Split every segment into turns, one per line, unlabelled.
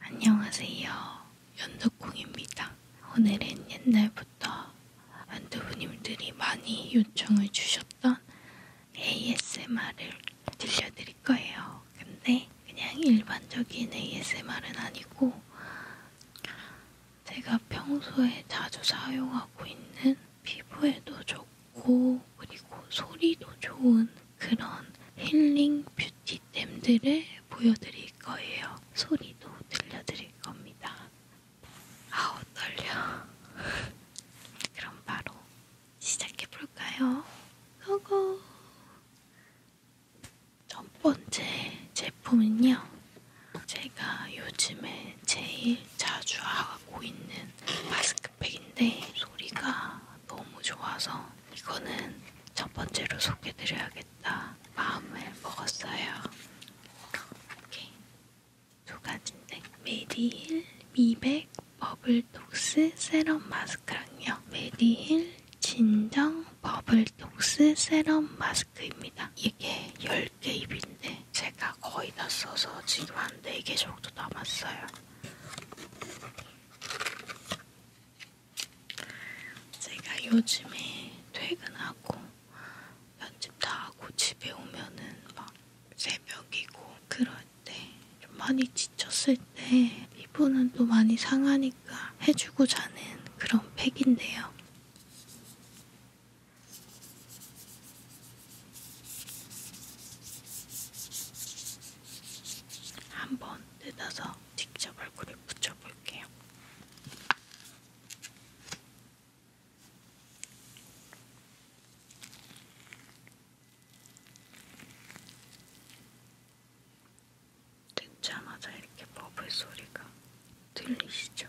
안녕하세요. 연덕궁입니다. 오늘은 옛날부터 연두부님들이 많이 요청을 주셨던 ASMR을 들려드릴 거예요. 근데 그냥 일반적인 ASMR은 아니고 제가 평소에 자주 사용하고 있는 피부에도 좋은 귀엽고 그리고 소리도 좋은 그런 힐링 뷰티템들을 보여드릴 거예요. 소리도 들려드릴 겁니다. 아우 떨려. 그럼 바로 시작해 볼까요? 고고. 첫 번째 제품은요. 제가 요즘에 제일 자주 하고 있는 마스크 백인데 그 소리가 너무 좋아서 이거는 첫 번째로 소개드려야겠다 마음을 먹었어요. 이렇게 두 가지인데 네. 메디힐 미백 버블톡스 세럼 마스크랑요. 메디힐 진정 버블톡스 세럼 마스크입니다. 이게 10개 입인데 제가 거의 다 써서 지금 한 4개 정도 남았어요. 제가 요즘에 퇴근하고 편집 다 하고 집에 오면은 막 새벽이고 그럴 때 좀 많이 지쳤을 때 피부는 또 많이 상하니까 해주고 자는 그런 팩인데요. 한번 뜯어서 직접 얼굴에 붙여볼게요. 듣자마자 이렇게 버블 소리가 들리시죠?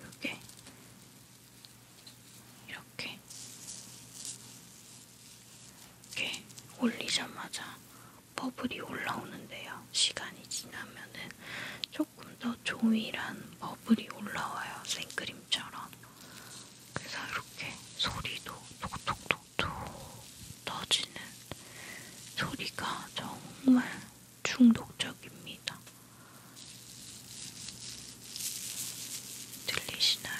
요게 이렇게 이렇게 올리자마자 버블이 올라오는데요. 시간이 지나면은 조금 더 조밀한 버블이 올라와요. 생크림처럼. 그래서 이렇게 소리도 톡톡톡톡 터지는 소리가 정말 중독적입니다. 들리시나요?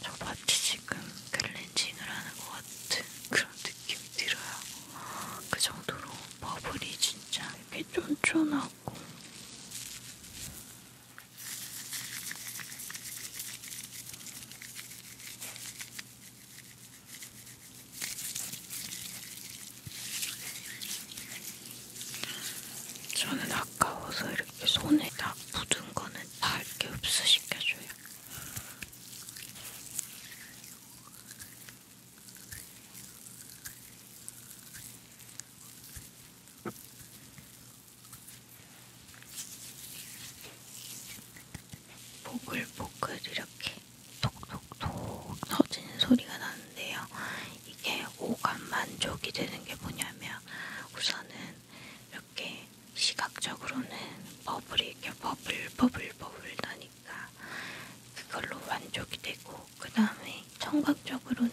저 마치 지금 클렌징을 하는 것 같은 그런 느낌이 들어요. 그 정도로 버블이 진짜 이렇게 쫀쫀하고 저는 아까워서 이렇게 손에 다 묻은 거는 다 이렇게 흡수시켜줘요. 보글보글 이렇게 톡톡톡 터지는 소리가 나는데요. 이게 오감 만족이 되는 게 뭐냐면 우선은 이렇게 시각적으로는 버블이 이렇게 버블 버블 버블 나니까 그걸로 만족이 되고 그 다음에 청각적으로는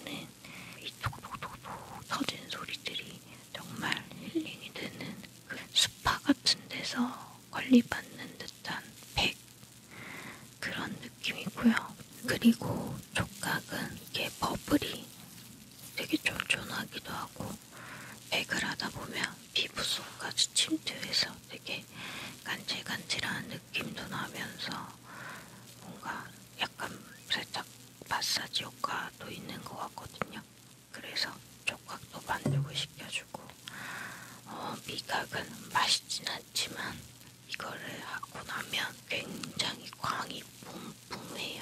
이 톡톡톡톡 터진 소리들이 정말 힐링이 되는 그 스파 같은 데서 관리받는 듯한 팩 그런 느낌이고요. 그리고 촉각은 이게 버블이 되게 쫀쫀하기도 하고 백을 하다 보면 피부 속까지 침투해서 되게 간질간질한 느낌도 나면서 뭔가 약간 살짝 마사지 효과도 있는 것 같거든요. 그래서 촉각도 만들고 시켜주고 어, 미각은 맛있진 않지만 이거를 하고 나면 굉장히 광이 뿜뿜해요.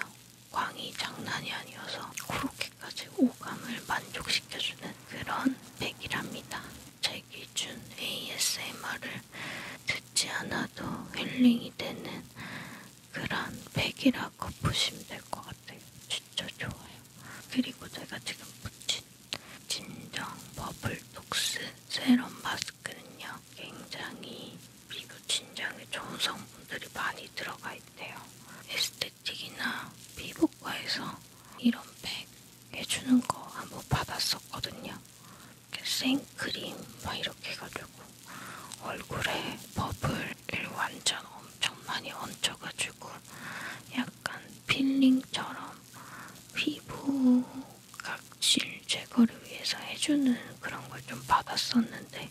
광이 장난이 아니어서 그렇게까지 오감을 만족시켜주는 그런 백이랍니다. 제 기준 ASMR을 듣지 않아도 힐링이 되는 그런 백이라고 보시면 될 것 같아요. 진짜 좋아요. 그리고 제가 지금 붙인 진정 버블톡스 세럼 마스크 마스크는요, 굉장히 피부 진정에 좋은 성분들이 많이 들어가 있대요. 에스테틱이나 피부과에서 이런 팩 해주는 거 한번 받았었거든요. 생크림 막 뭐 이렇게 해가지고 얼굴에 버블을 완전 엄청 많이 얹혀가지고 약간 필링처럼 피부 각질 제거를 위해서 해주는 그런 걸 좀 받았었는데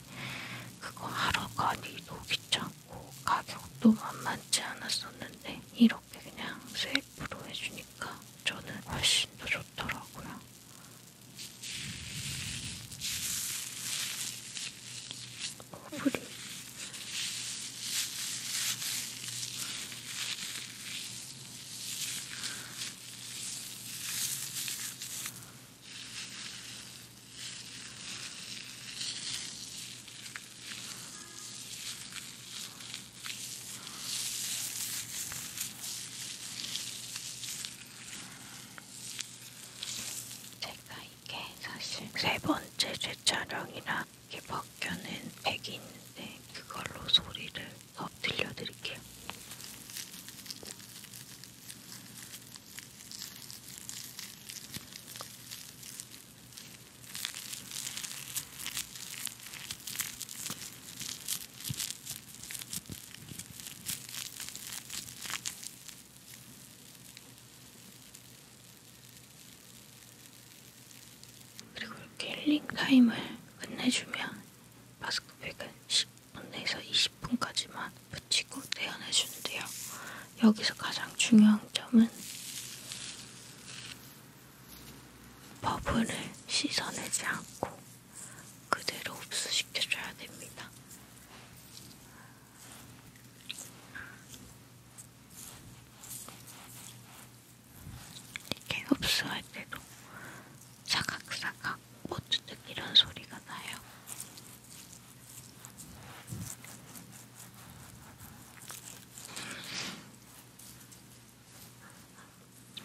그거 하러 가기도 귀찮고 가격도 만만치 않았었는데 이렇게 그냥 세이프로 해주니까 저는 훨씬 더 좋더라고요. 커플이 제가 이게 사실 세 번째 제 촬영이라 이렇게 벗겨낸 팩이 있는데 그걸로 소리를 더 들려드릴게요. 그리고 이렇게 힐링 타임을 끝내주면 마스크팩은 10분에서 20분까지만 붙이고 떼어내주는데요. 여기서 가장 중요한 점은 버블을 씻어내지 않고 그대로 흡수시켜줘야 됩니다. 이렇게 흡수할 때도 사각사각 꼬투득 이런 소리가 나요.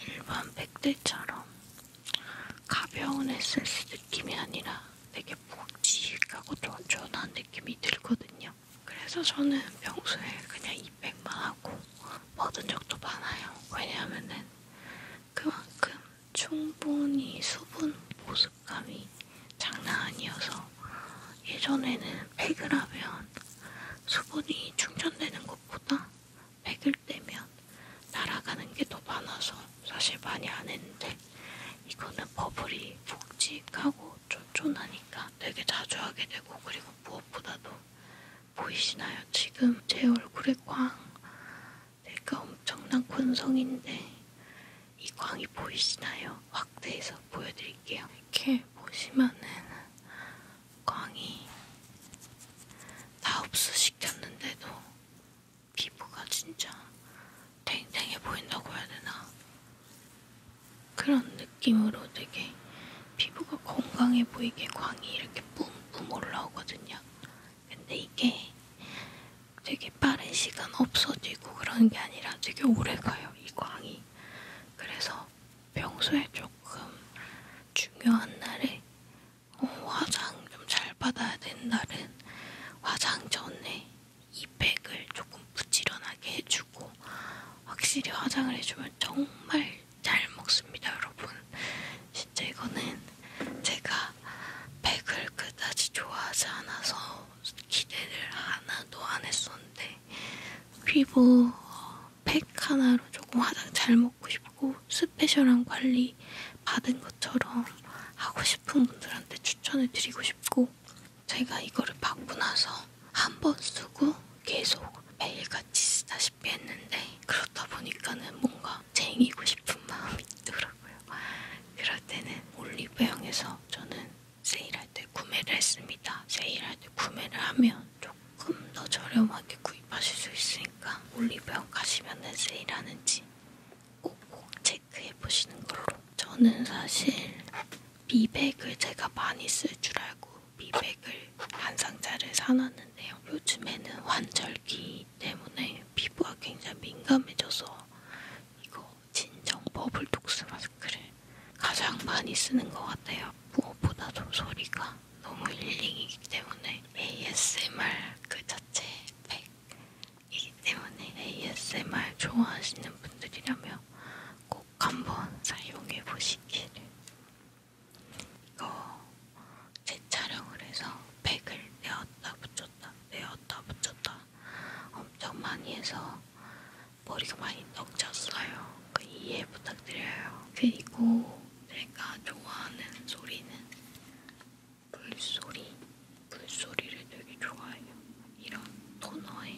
일반 백들처럼 가벼운 에센스 느낌이 아니라 되게 푹 지익하고 쫀쫀한 느낌이 들거든요. 그래서 저는 평소에 그냥 200만 하고 얻은 적도 많아요. 왜냐하면은 그만큼 충분히 수분 보습감이 장난 아니어서 예전에는 100을 하면 수분이 충전되는 것보다 100을 떼면 날아가는 게 더 많아서 사실 많이 안 했는데 이거는 버블이 묵직하고 쫀쫀하니까 되게 자주 하게 되고 그리고 무엇보다도 보이시나요? 지금 제 얼굴에 광 내가 엄청난 곤성인데 이 광이 보이시나요? 확대해서 보여드릴게요. 이렇게 보시면은 광이 다 흡수시켰는데도 피부가 진짜 탱탱해 보인다고 해야 되나? 그런 느낌으로 되게 피부가 건강해 보이게 광이 이렇게 뿜뿜 올라오거든요. 근데 이게 되게 빠른 시간 없어지고 그런 게 아니라 되게 오래 가요, 이 광이. 그래서 평소에 조금 중요한 날에 어, 화장 좀 잘 받아야 되는 날은 화장 전에 이 팩을 조금 부지런하게 해주고 해주고 확실히 화장을 해주면 정말 잘 먹습니다, 여러분. 진짜 이거는 제가 백을 그다지 좋아하지 않아서 기대를 하나도 안 했었는데 피부 팩 하나로 조금 화장 잘 먹고 싶고 스페셜한 관리 받은 것처럼 하고 싶은 분들한테 추천을 드리고 싶고 있고 제가 이거를 받고 나서 한 번 쓰고 계속 매일같이 쓰다시피 했는데 그렇다 보니까는 뭔가 쟁이고 싶은 마음이 있더라고요. 그럴 때는 올리브영에서 저는 세일할 때 구매를 했습니다. 세일할 때 구매를 하면 조금 더 저렴하게 구입하실 수 있으니까 올리브영 가시면은 세일하는지 꼭꼭 체크해 보시는 걸로. 저는 사실 미백을 제가 많이 쓸 줄 알고 미백을 한 상자를 사놨는데요. 요즘에는 환절기 때문에 피부가 굉장히 민감해져서 이거 진정 버블 독스 마스크를 가장 많이 쓰는 것 같아요. 무엇보다도 소리가 너무 힐링이기 때문에 ASMR 그 자체 팩이기 때문에 ASMR 좋아하시는 분들이라면 꼭꼭 한번 사용해 보시기를. 이거 재촬영을 해서 팩을 내었다 붙였다 내었다 붙였다 엄청 많이 해서 머리가 많이 떡졌어요. 그 이해 부탁드려요. 그리고 제가 좋아하는 소리는 물소리. 물소리를 되게 좋아해요. 이런 토너에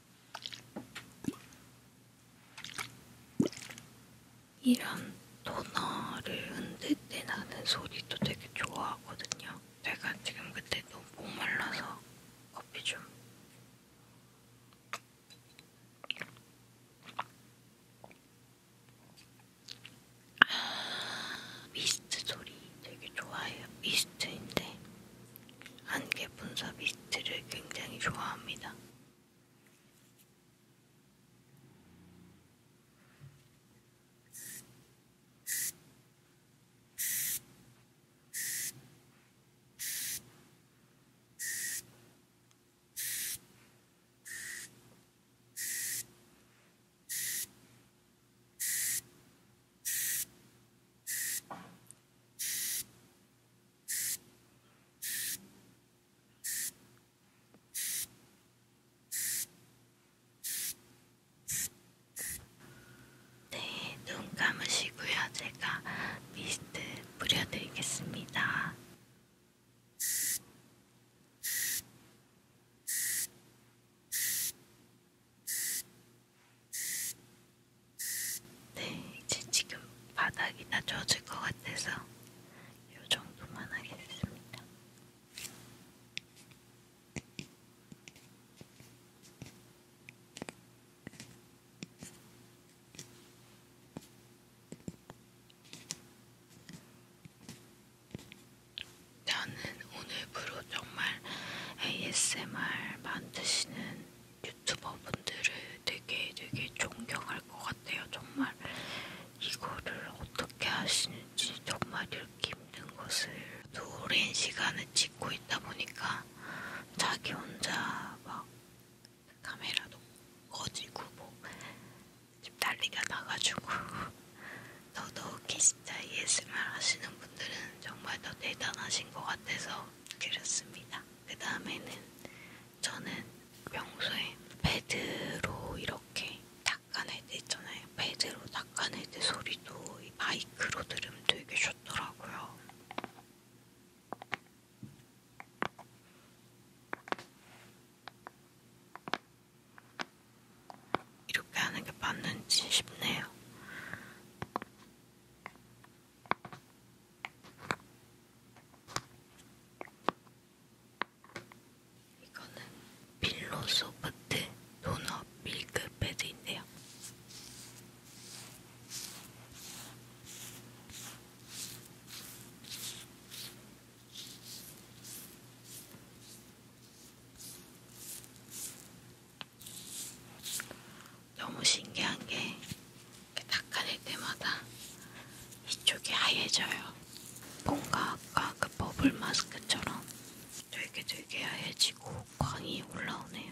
이런 토너를 흔들 때 나는 소리도 되게 좋아하거든요. 제가 지금 그때 너무 목말라서 커피 좀. 아, 미스트 소리 되게 좋아해요. 미스트인데 안개 분사 미스트를 굉장히 좋아합니다. 네, 눈 감으시고요. 제가 미스트 뿌려드리겠습니다. 네, 이제 지금 바닥이 다 젖을 것 같아서 이 정도만 하겠습니다. 저는 오늘부로 정말 ASMR 만드시는 유튜버 분들을 되게 되게 존경할 것 같아요. 정말 이거를 어떻게 하시는지 정말 이렇게 힘든 것을 오랜 시간을 찍고 있다 보니까 자기 혼자 막 카메라도 꺼지고 뭐좀 난리가 나가지고 더더욱이 진짜 ASMR 하시는 분들은 정말 더 대단하신 것 같아서 그렸습니다. 그 다음에는 저는 평소에 패드로 이렇게 닦아낼 때 있잖아요. 패드로 닦아낼 때 소리도 이 마이크로 들으면 되게 좋더라고요. 이렇게 하는 게 맞는지 싶네요. 이거는 필로소프트 도넛 밀크 패드인데요. 너무 신기한 게 닦아낼 때마다 이쪽이 하얘져요. 뭔가 아까 그 버블 마스크처럼 되게 되게 하얘지고 광이 올라오네요.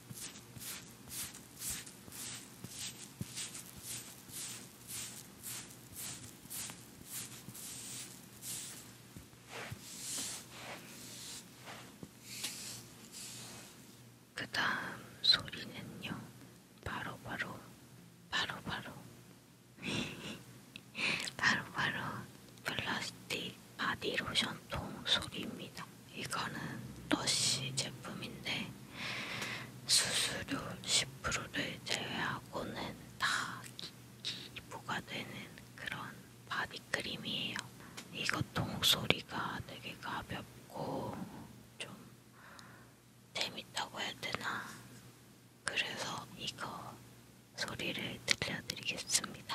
그 다음 소리는요, 바로바로, 바로바로, 바로바로, 바로 바로 플라스틱 바디로션통 소리입니다. 이거는 러쉬 제품인데 수수료 10%를 제외하고는 다 기부가 되는 그런 바디크림이에요. 이것도 목소리가 되게 가볍고 좀 재밌다고 해야 되나? 그래서 이거 소리를 들려드리겠습니다.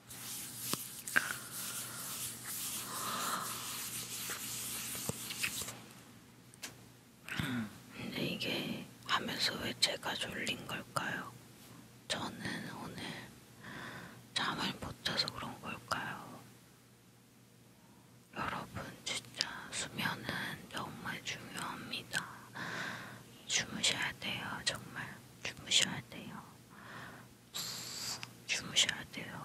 근데 이게 하면서 왜 제가 졸린 걸까요? 저는 오늘 잠을 못 자서 그런 걸까요? 여러분, 진짜 수면은 정말 중요합니다. 주무셔야 돼요, 정말. 주무셔야 돼요. 주무셔야 돼요.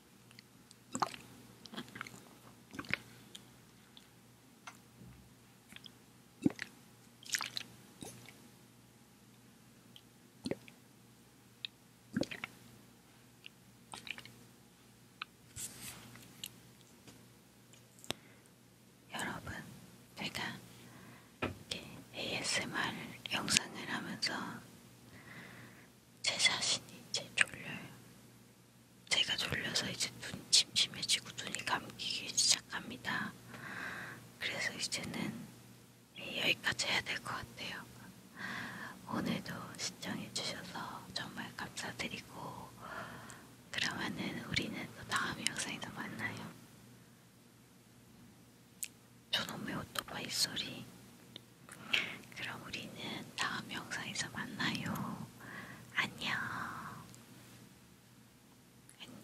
여러분, 제가 이렇게 ASMR 영상을 하면서 제 자신이 이제 졸려요. 제가 졸려서 이제 눈이 침침해지고 눈이 감기기 시작합니다. 그래서 이제는 여기까지 해야 될 것 같아요. 오늘도 시청해주셔서 정말 감사드리고, 그러면은 우리는 또 다음 영상에서 만나요. 저놈의 오토바이 소리 그럼 우리는 다음 영상에서 만나요. 안녕. 안녕.